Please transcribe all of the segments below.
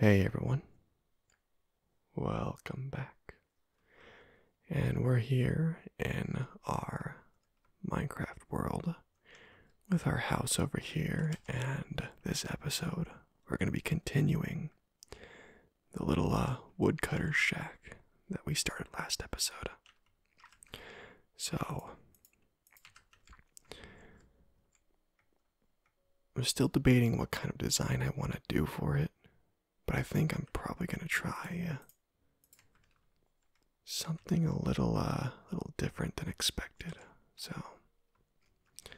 Hey everyone, welcome back. And we're here in our Minecraft world with our house over here. And this episode, we're going to be continuing the little uh, woodcutter shack that we started last episode. So I'm still debating what kind of design I want to do for it, but I think I'm probably going to try uh, something a little uh little different than expected. So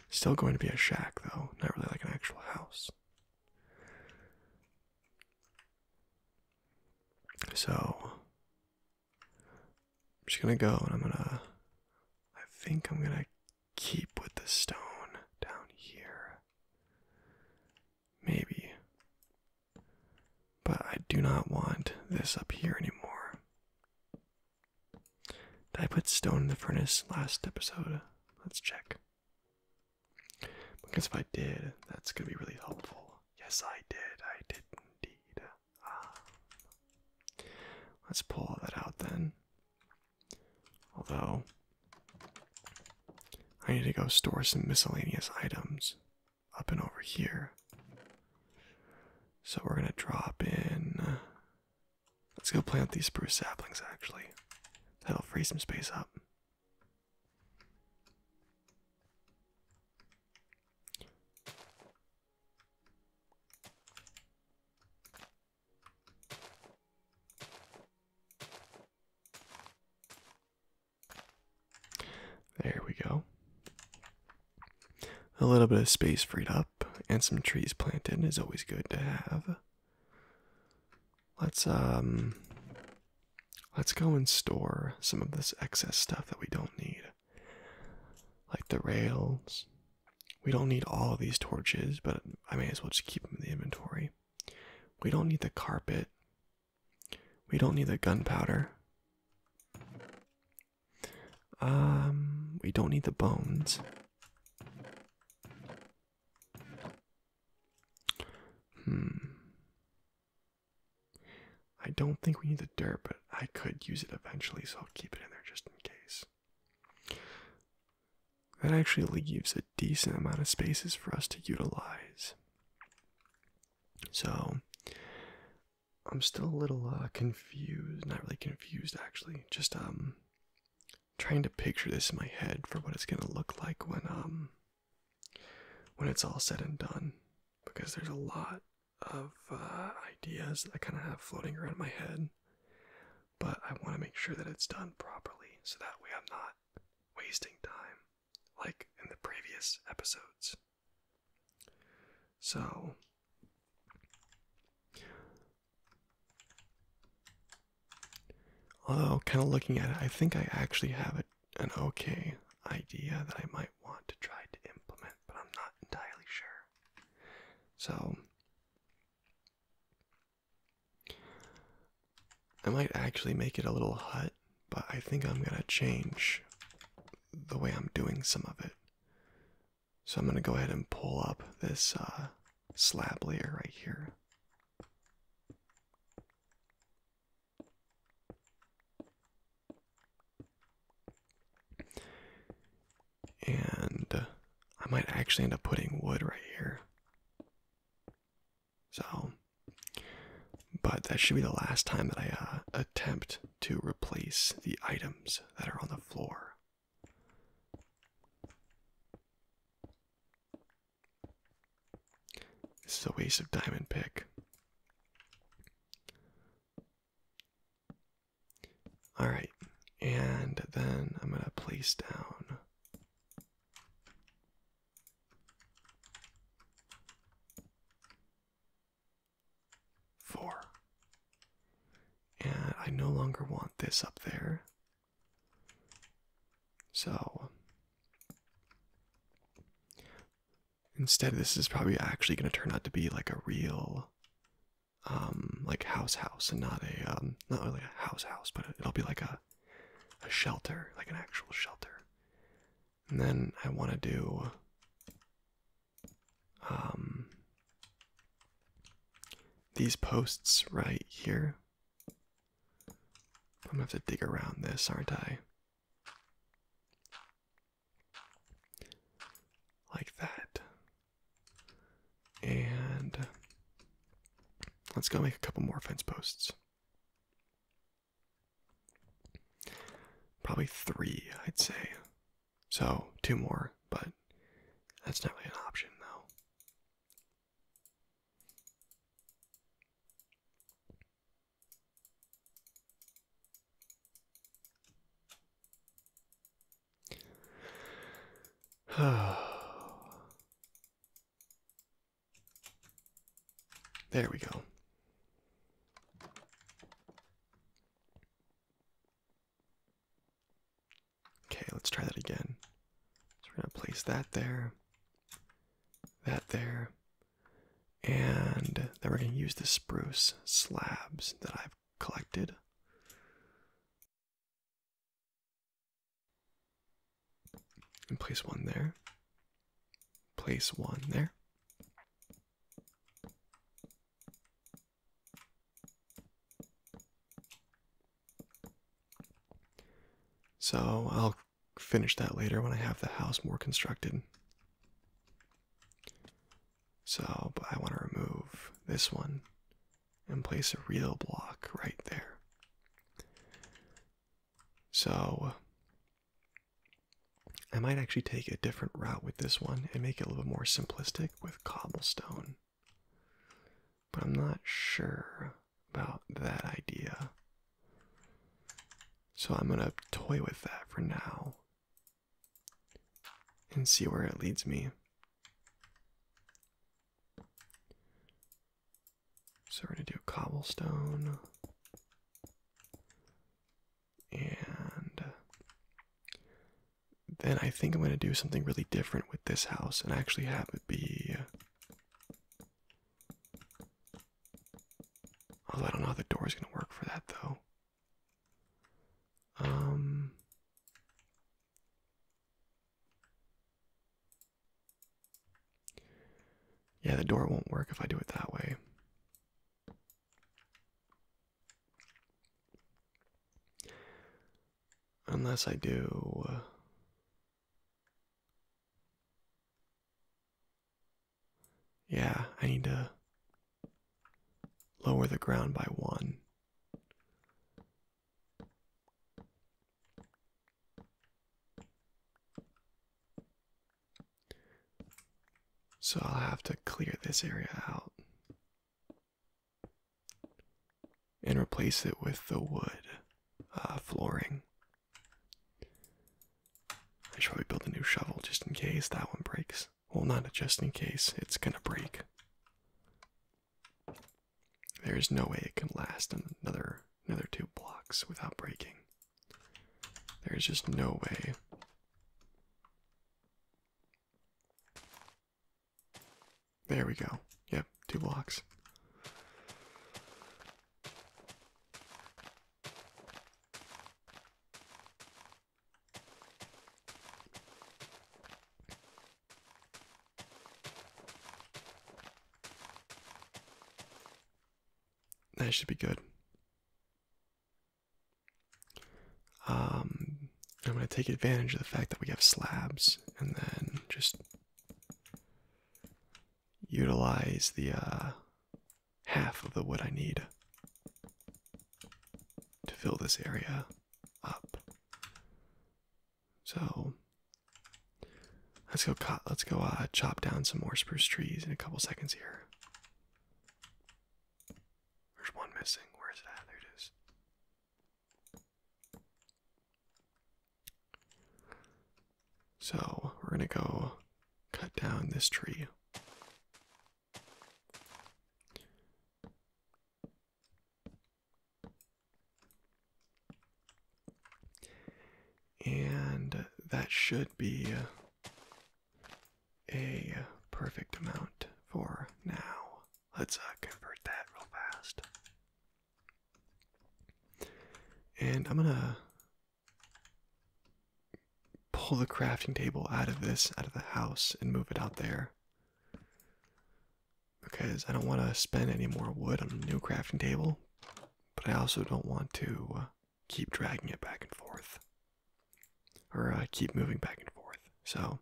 still going to be a shack though, not really like an actual house. So I'm just gonna go and I'm gonna. I think I'm gonna keep with the stone down here. Maybe. But I do not want this up here anymore. Did I put stone in the furnace last episode? Let's check. Because if I did, that's gonna be really helpful. Yes, I did. I did indeed let's pull that out then. Although, I need to go store some miscellaneous items up and over here. So we're going to drop in. let's go plant these spruce saplings actually. That'll free some space up. There we go. A little bit of space freed up and some trees planted is always good to have. Let's um let's go and store some of this excess stuff that we don't need like the rails. We don't need all these torches, but I may as well just keep them in the inventory. We don't need the carpet. We don't need the gunpowder. Um, we don't need the bones. Hmm. I don't think we need the dirt, but I could use it eventually, so I'll keep it in there just in case. That actually leaves a decent amount of spaces for us to utilize. So, I'm still a little uh, confused. Not really confused, actually. Just um, trying to picture this in my head for what it's gonna look like when um, when it's all said and done, because there's a lot of uh, ideas that I kind of have floating around my head, but I want to make sure that it's done properly so that way I'm not wasting time like in the previous episodes. So, although kind of looking at it, I think I actually have it an okay idea that I might want to try to implement, but I'm not entirely sure. So, I might actually make it a little hut, but I think I'm gonna change the way I'm doing some of it. So, I'm gonna go ahead and pull up this uh, slab layer right here. And uh, I might actually end up putting wood right here. So, but that should be the last time that I uh, attempt to replace the items that are on the floor. This is a waste of diamond pick. All right, and then I'm going to place down four. And I no longer want this up there. So Instead, this is probably actually going to turn out to be like a real, um, like house house, and not a um, not really a house house, but it'll be like a, a shelter, like an actual shelter. And then I want to do, um, these posts right here. I'm gonna have to dig around this, aren't I? like that. And let's go make a couple more fence posts. Probably three, I'd say. So, two more, but that's not really an option, though. there we go. Okay, let's try that again. So we're going to place that there, that there, and then we're going to use the spruce slabs that I've collected. And place one there. Place one there. So I'll finish that later when I have the house more constructed. So, but I want to remove this one and place a real block right there. So, I might actually take a different route with this one and make it a little bit more simplistic with cobblestone. But I'm not sure about that idea. So I'm going to toy with that for now and see where it leads me. So we're going to do cobblestone and then I think I'm going to do something really different with this house and actually have it be Although I don't know how the door is going to work for that though. Um. Yeah, the door won't work if I do it that way. Unless I do. Uh, yeah, I need to lower the ground by one. So I'll have to clear this area out and replace it with the wood uh, flooring. I should probably build a new shovel just in case that one breaks. Well, not just in case, it's gonna break. There is no way it can last another another two blocks without breaking. There is just no way. There we go. Yep, two blocks. That should be good. Um, I'm going to take advantage of the fact that we have slabs and then just utilize the uh, half of the wood I need to fill this area up. So let's go. cut. Let's go uh, chop down some more spruce trees in a couple seconds here. There's one missing. Where is that? at? There it is. So we're gonna go cut down this tree. And that should be a perfect amount for now. Let's uh, convert that real fast. And I'm gonna pull the crafting table out of this, out of the house, and move it out there. Because I don't want to spend any more wood on a new crafting table, but I also don't want to uh, keep dragging it back and forth. Or uh, keep moving back and forth. So,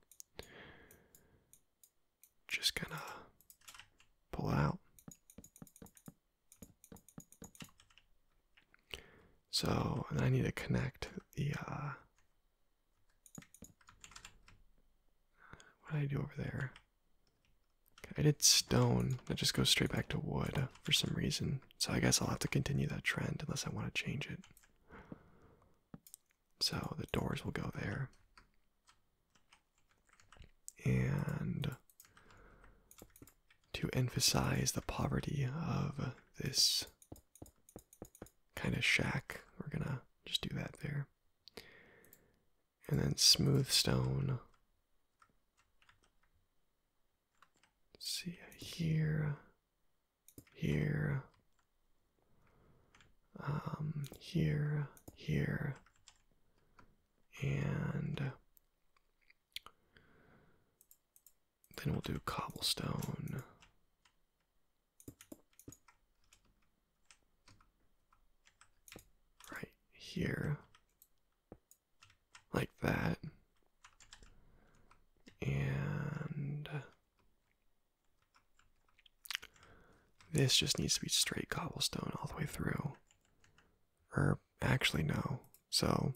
just gonna pull it out. So I need to connect the uh, what did I do over there? I did stone. That just goes straight back to wood for some reason. So I guess I'll have to continue that trend unless I want to change it. So the doors will go there. And to emphasize the poverty of this kind of shack. We're gonna just do that there. And then smooth stone. see here, here, um, here, here, and then we'll do cobblestone. Right here. Like that. And this just needs to be straight cobblestone all the way through. Or actually no. So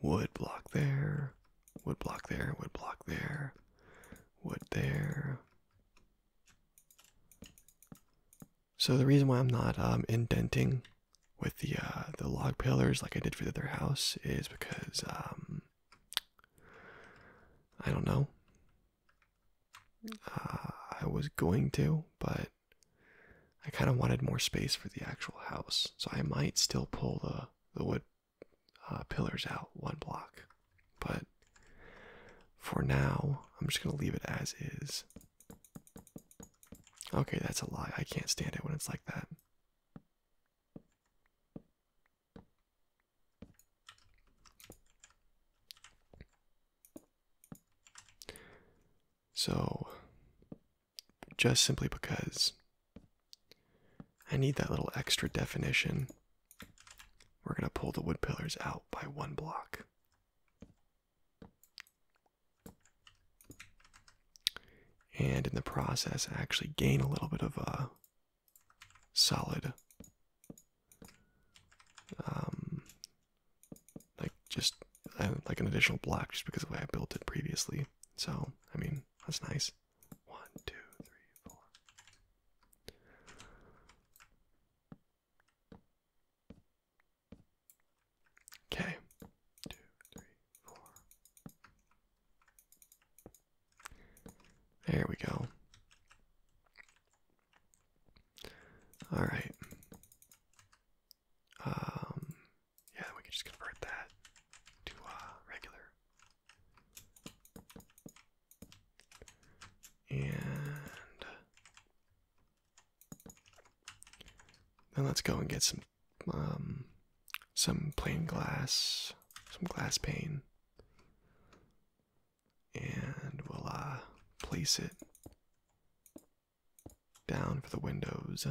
wood block there, wood block there, wood block there, wood there. So the reason why I'm not um, indenting with the uh, the log pillars like I did for the other house is because um, I don't know. Uh, I was going to, but I kind of wanted more space for the actual house, so I might still pull the the wood uh, pillars out one block, but for now I'm just gonna leave it as is. Okay, that's a lie. I can't stand it when it's like that. So just simply because I need that little extra definition. We're going to pull the wood pillars out by one block. And in the process, actually gain a little bit of a uh, solid, um, like just uh, like an additional block just because of the way I built it previously. So, I mean, that's nice. One, two, three, four. Okay. Two, three, four. There we go. All right. Um, yeah, we can just convert that to uh, regular. And then let's go and get some um, some plain glass, some glass pane, and we'll uh, place it down for the windows.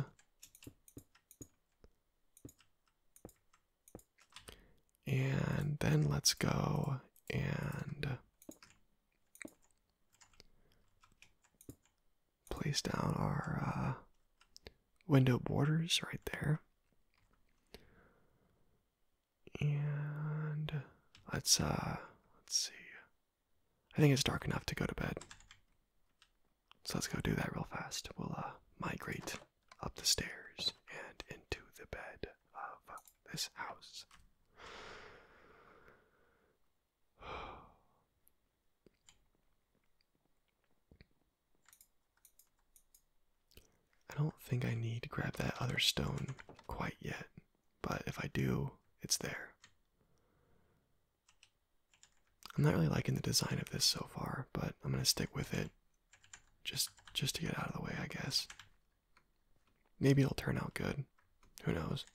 And then let's go and place down our uh, window borders right there. And let's uh let's see. I think it's dark enough to go to bed. So let's go do that real fast. We'll uh, migrate up the stairs and into the bed of this house. I don't think I need to grab that other stone quite yet, but if I do, it's there. I'm not really liking the design of this so far, but I'm gonna stick with it just just to get out of the way, I guess. Maybe it'll turn out good. Who knows?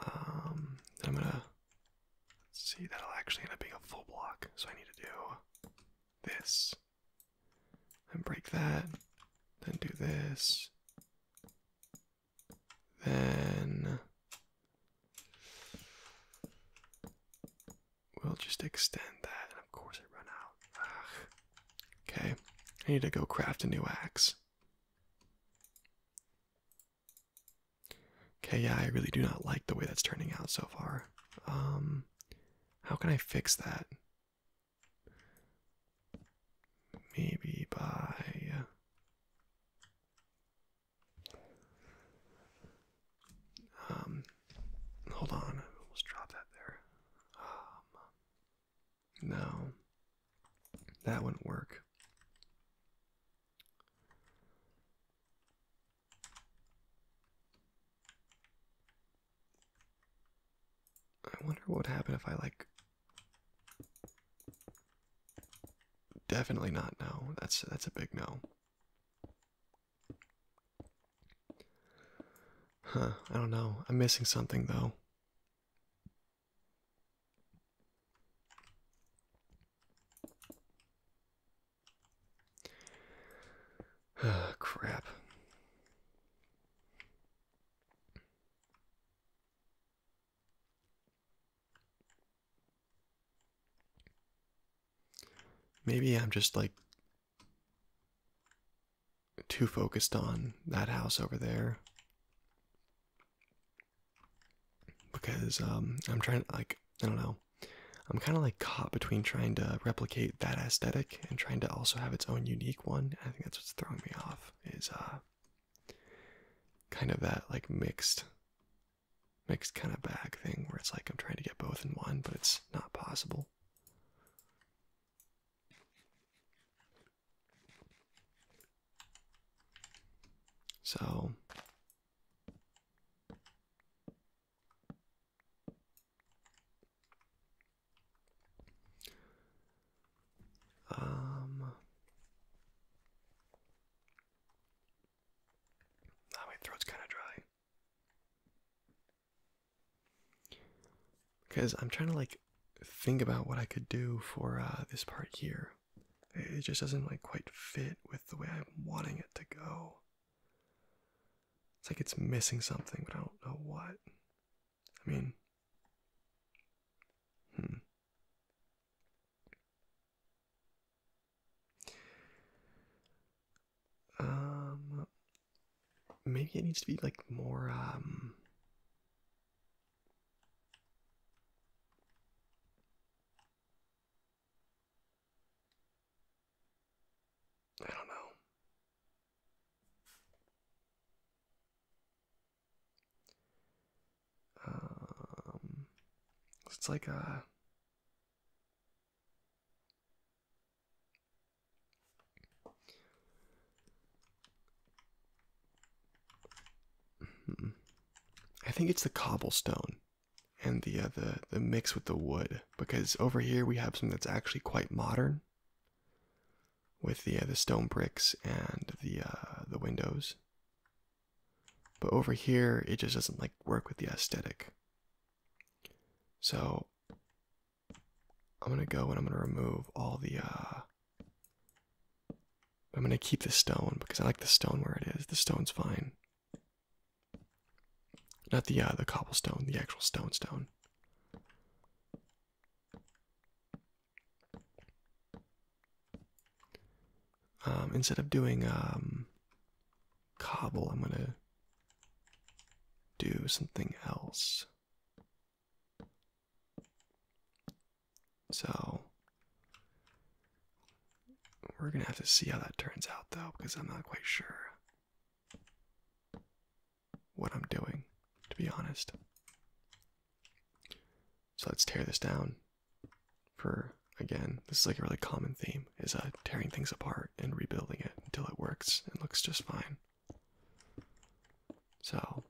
Um, I'm gonna see that'll actually end up being a full block, so I need to do this and break that, then do this, then we'll just extend that, and of course it run out. Okay, I need to go craft a new axe. Okay, yeah, I really do not like the way that's turning out so far. Um, how can I fix that? maybe by uh, um hold on I almost dropped that there um, no that wouldn't work I wonder what would happen if I like definitely not no. That's that's a big no. Huh, I don't know. I'm missing something though. Oh, crap. Maybe I'm just like too focused on that house over there because um, I'm trying to like I don't know I'm kind of like caught between trying to replicate that aesthetic and trying to also have its own unique one. I think that's what's throwing me off is uh kind of that like mixed mixed kind of bag thing where it's like I'm trying to get both in one, but it's not possible. So um, ah, my throat's kind of dry because I'm trying to like think about what I could do for uh, this part here. It just doesn't like quite fit with the way I'm wanting it to go. It's like it's missing something, but I don't know what. I mean, hmm. Um, maybe it needs to be like more, um, I don't know. Um, it's like a. Hmm. I think it's the cobblestone and the, uh, the the mix with the wood because over here we have something that's actually quite modern with the uh, the stone bricks and the uh, the windows. But over here, it just doesn't like work with the aesthetic. So I'm gonna go and I'm gonna remove all the. Uh, I'm gonna keep the stone because I like the stone where it is. The stone's fine. Not the uh, the cobblestone, the actual stone stone. Um, instead of doing um, cobble, I'm gonna do something else. So we're gonna have to see how that turns out though, because I'm not quite sure what I'm doing, to be honest. So let's tear this down for again, this is like a really common theme is uh, tearing things apart and rebuilding it until it works and looks just fine. So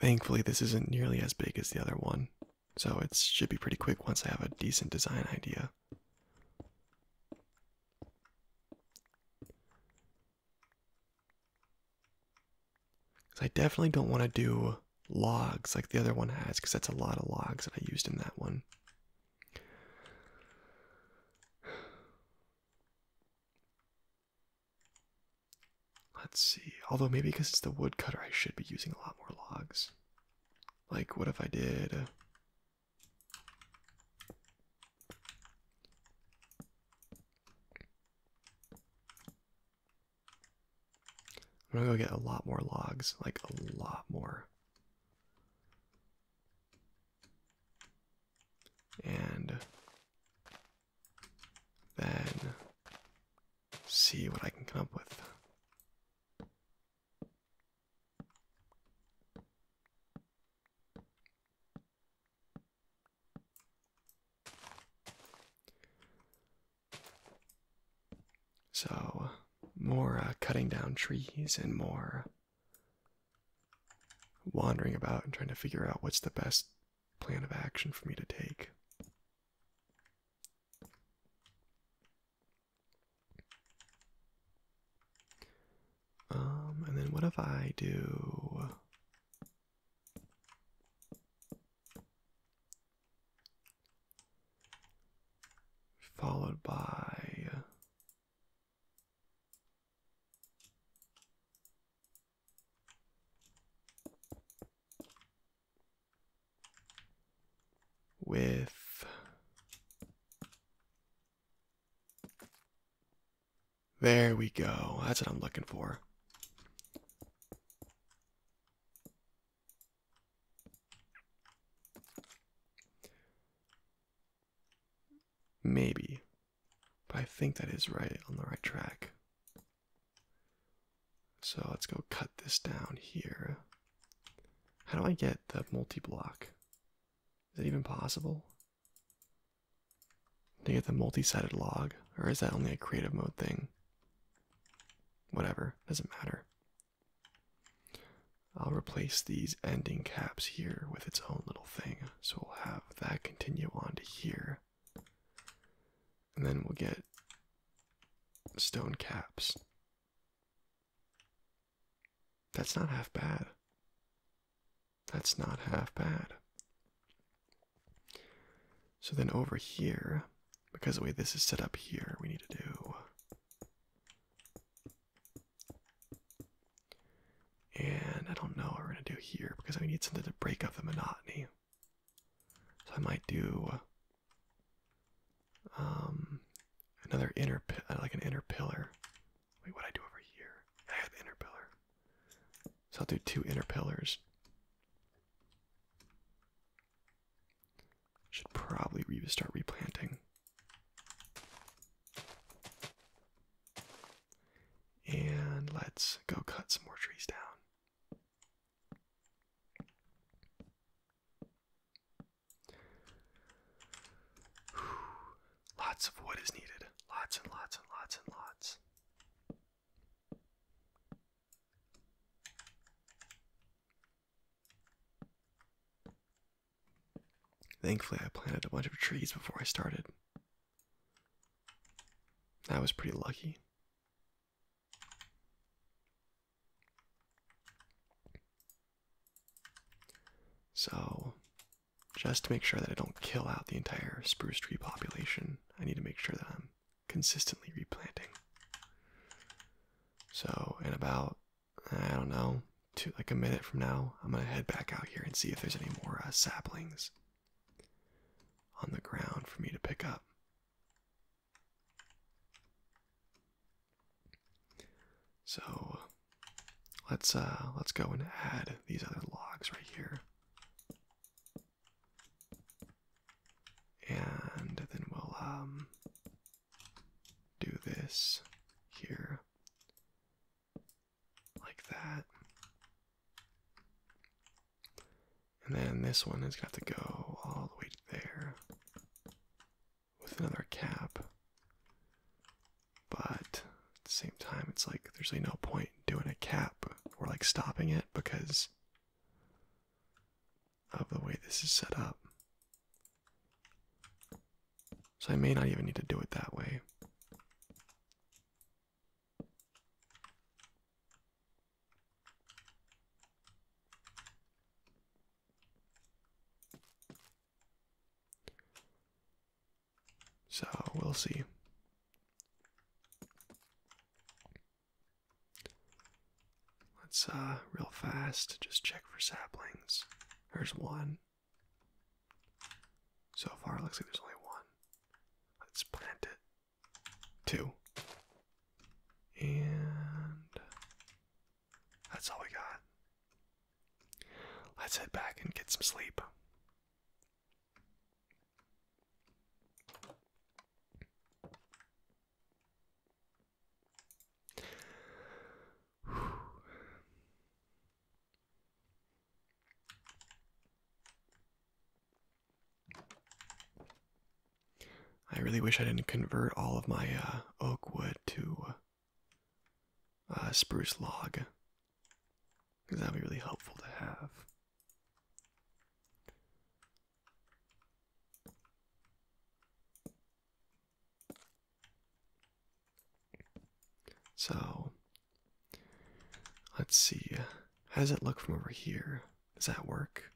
Thankfully this isn't nearly as big as the other one. So it should be pretty quick once I have a decent design idea. Because I definitely don't want to do logs like the other one has, because that's a lot of logs that I used in that one. Let's see. Although maybe because it's the woodcutter, I should be using a lot more logs. Like, what if I did uh, I'm gonna go get a lot more logs, like a lot more. And then see what I can come up with. So, more uh, cutting down trees and more wandering about and trying to figure out what's the best plan of action for me to take. Um, and then what if I do followed by with there we go. That's what I'm looking for. Maybe. But I think that is right on the right track. So let's go cut this down here. How do I get the multi-block? Is it even possible? To get the multi-sided log, or is that only a creative mode thing? Whatever, doesn't matter. I'll replace these ending caps here with its own little thing. So we'll have that continue on to here. And then we'll get stone caps that's not half bad. That's not half bad. So then over here, because the way this is set up here, we need to do. And I don't know what we're going to do here because I need something to break up the monotony. So I might do um, another inner uh, like an inner pillar. Wait, what I do over here? I have inner pillar, so I'll do two inner pillars. Should probably re start replanting. And let's go cut some more trees down. Lots of wood is needed. Lots and lots and lots and lots. Thankfully, I planted a bunch of trees before I started. That was pretty lucky. So, just to make sure that I don't kill out the entire spruce tree population, I need to make sure that I'm consistently replanting. So, in about, I don't know, like a minute from now, I'm gonna head back out here and see if there's any more uh, saplings on the ground for me to pick up. So let's uh, let's go and add these other logs right here. And then we'll um, do this here like that. And then this one has gonna to go all the way to there with another cap. But at the same time, it's like there's really no point doing a cap or like stopping it because of the way this is set up. So I may not even need to do it that way. So we'll see. Let's uh real fast just check for saplings. There's one. So far it looks like there's only one. Let's plant it. Two. And that's all we got. Let's head back and get some sleep. I really wish I didn't convert all of my uh, oak wood to uh, uh, spruce log. Because that would be really helpful to have. So, let's see. How does it look from over here? Does that work?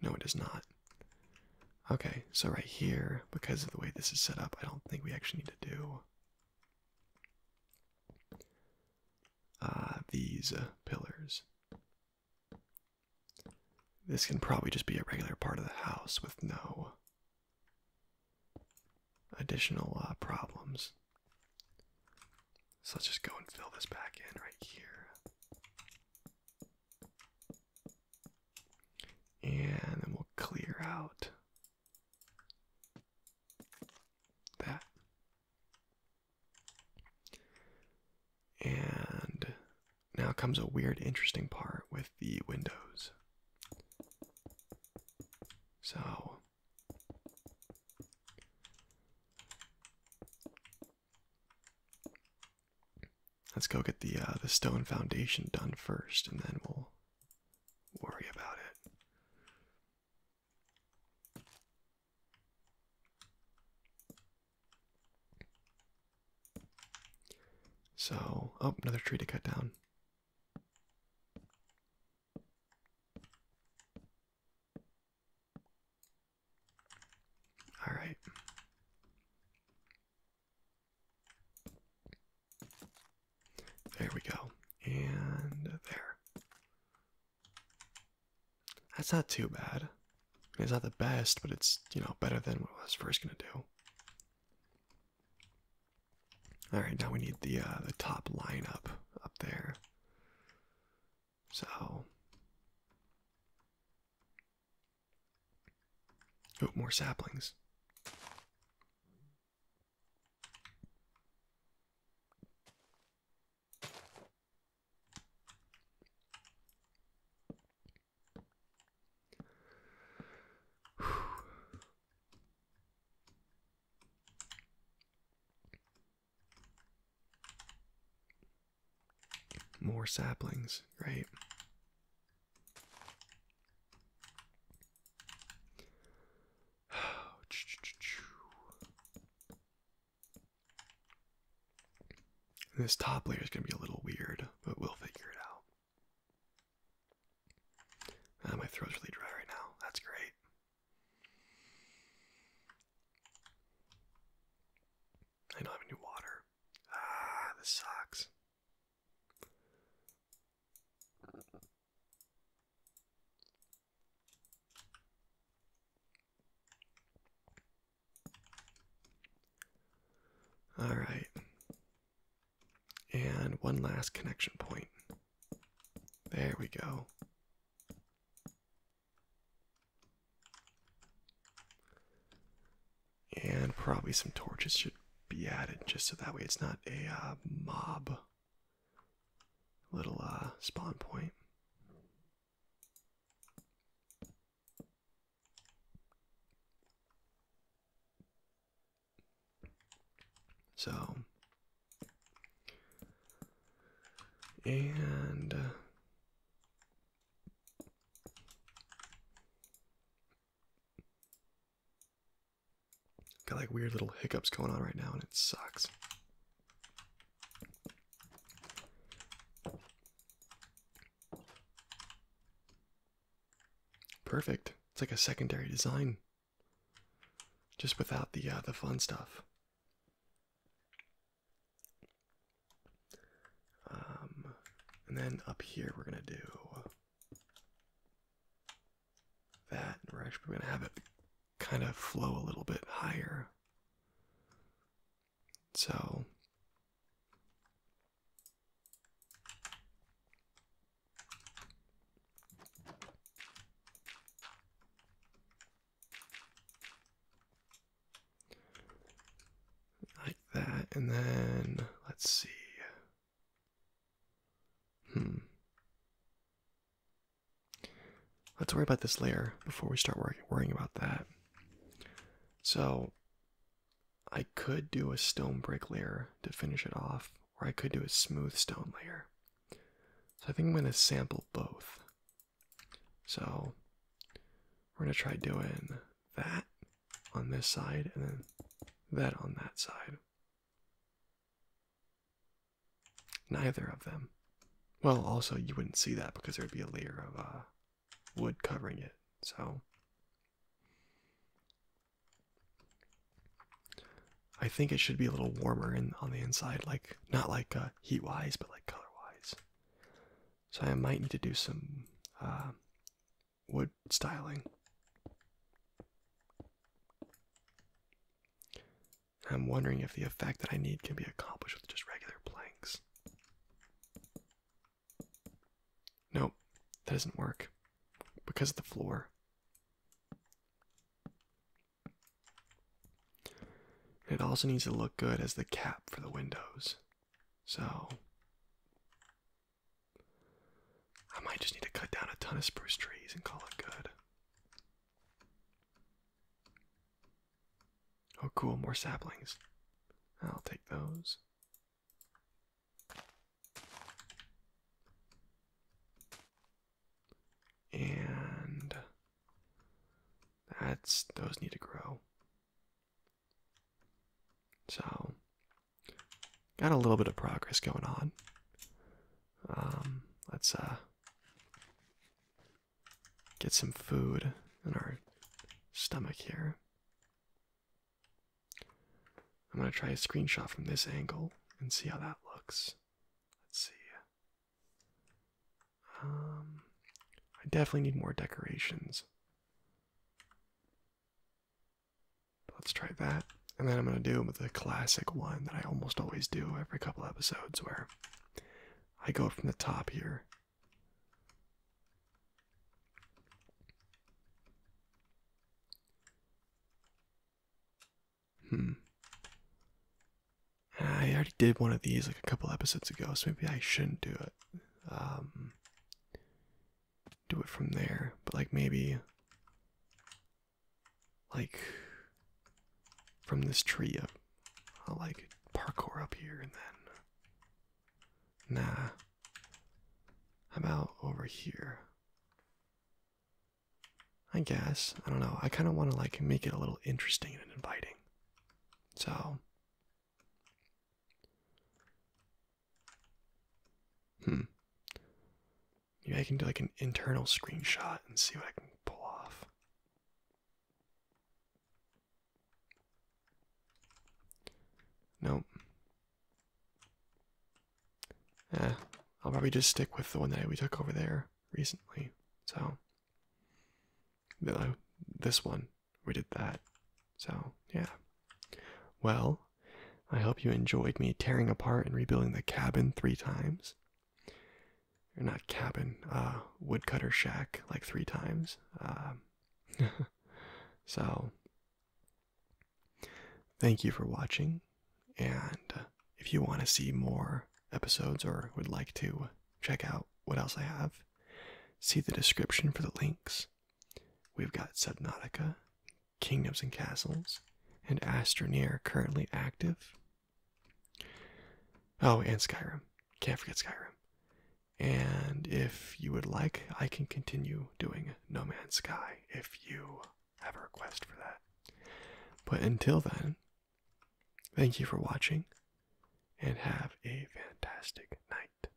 No, it does not. Okay, so right here, because of the way this is set up, I don't think we actually need to do uh, these uh, pillars. This can probably just be a regular part of the house with no additional uh, problems. So let's just go and fill this back in right here. And then we'll clear out that. And now comes a weird, interesting part with the windows. So. Let's go get the uh, the stone foundation done first, and then we'll worry about it. So, oh, another tree to cut down. All right. There we go. And there. That's not too bad. It's not the best, but it's, you know, better than what I was first going to do. All right, now we need the uh, the top line up up there. So Oh, more saplings. More saplings, right? This top layer is going to be a little weird, but we'll figure it out. Ah, my throat's really dry right now. That's great. I don't have any water. Ah, this sucks. All right. And one last connection point. There we go. And probably some torches should be added just so that way it's not a uh, mob little uh, spawn point. So, and uh, Got like weird little hiccups going on right now, and it sucks. Perfect. It's like a secondary design, just without the uh, the fun stuff. Um, and then up here we're gonna do that. And we're actually gonna have it kind of flow a little bit higher. So like that, and then let's see. Hmm. Let's worry about this layer before we start worrying about that. So, I could do a stone brick layer to finish it off, or I could do a smooth stone layer. So, I think I'm going to sample both. So, we're going to try doing that on this side and then that on that side. Neither of them. Well, also, you wouldn't see that because there'd be a layer of uh, wood covering it, so. I think it should be a little warmer in, on the inside, like not like uh, heat wise, but like color wise. So I might need to do some uh, wood styling. I'm wondering if the effect that I need can be accomplished with just regular planks. Nope, that doesn't work because of the floor. It also needs to look good as the cap for the windows. So I might just need to cut down a ton of spruce trees and call it good. Oh, cool, more saplings. I'll take those. And that's those need to grow. So, got a little bit of progress going on. Um, let's uh, get some food in our stomach here. I'm gonna try a screenshot from this angle and see how that looks. Let's see. Um, I definitely need more decorations. Let's try that. And then I'm going to do the classic one that I almost always do every couple episodes where I go from the top here. Hmm. I already did one of these like a couple episodes ago, so maybe I shouldn't do it. Um, do it from there, but like maybe like from this tree up. I'll like parkour up here and then nah. I'm out over here? I guess. I don't know. I kind of want to like make it a little interesting and inviting. So Hmm. Maybe I can do like an internal screenshot and see what I can pull off. Nope. Eh, I'll probably just stick with the one that we took over there recently. So, this one we did that. So, yeah. Well, I hope you enjoyed me tearing apart and rebuilding the cabin three times. Or not cabin, uh, woodcutter shack, like three times. Um, so, thank you for watching. And uh, if you want to see more episodes or would like to check out what else I have, see the description for the links. We've got Subnautica, Kingdoms and Castles, and Astroneer currently active. Oh, and Skyrim. Can't forget Skyrim. And if you would like, I can continue doing No Man's Sky if you have a request for that. But until then, thank you for watching and have a fantastic night.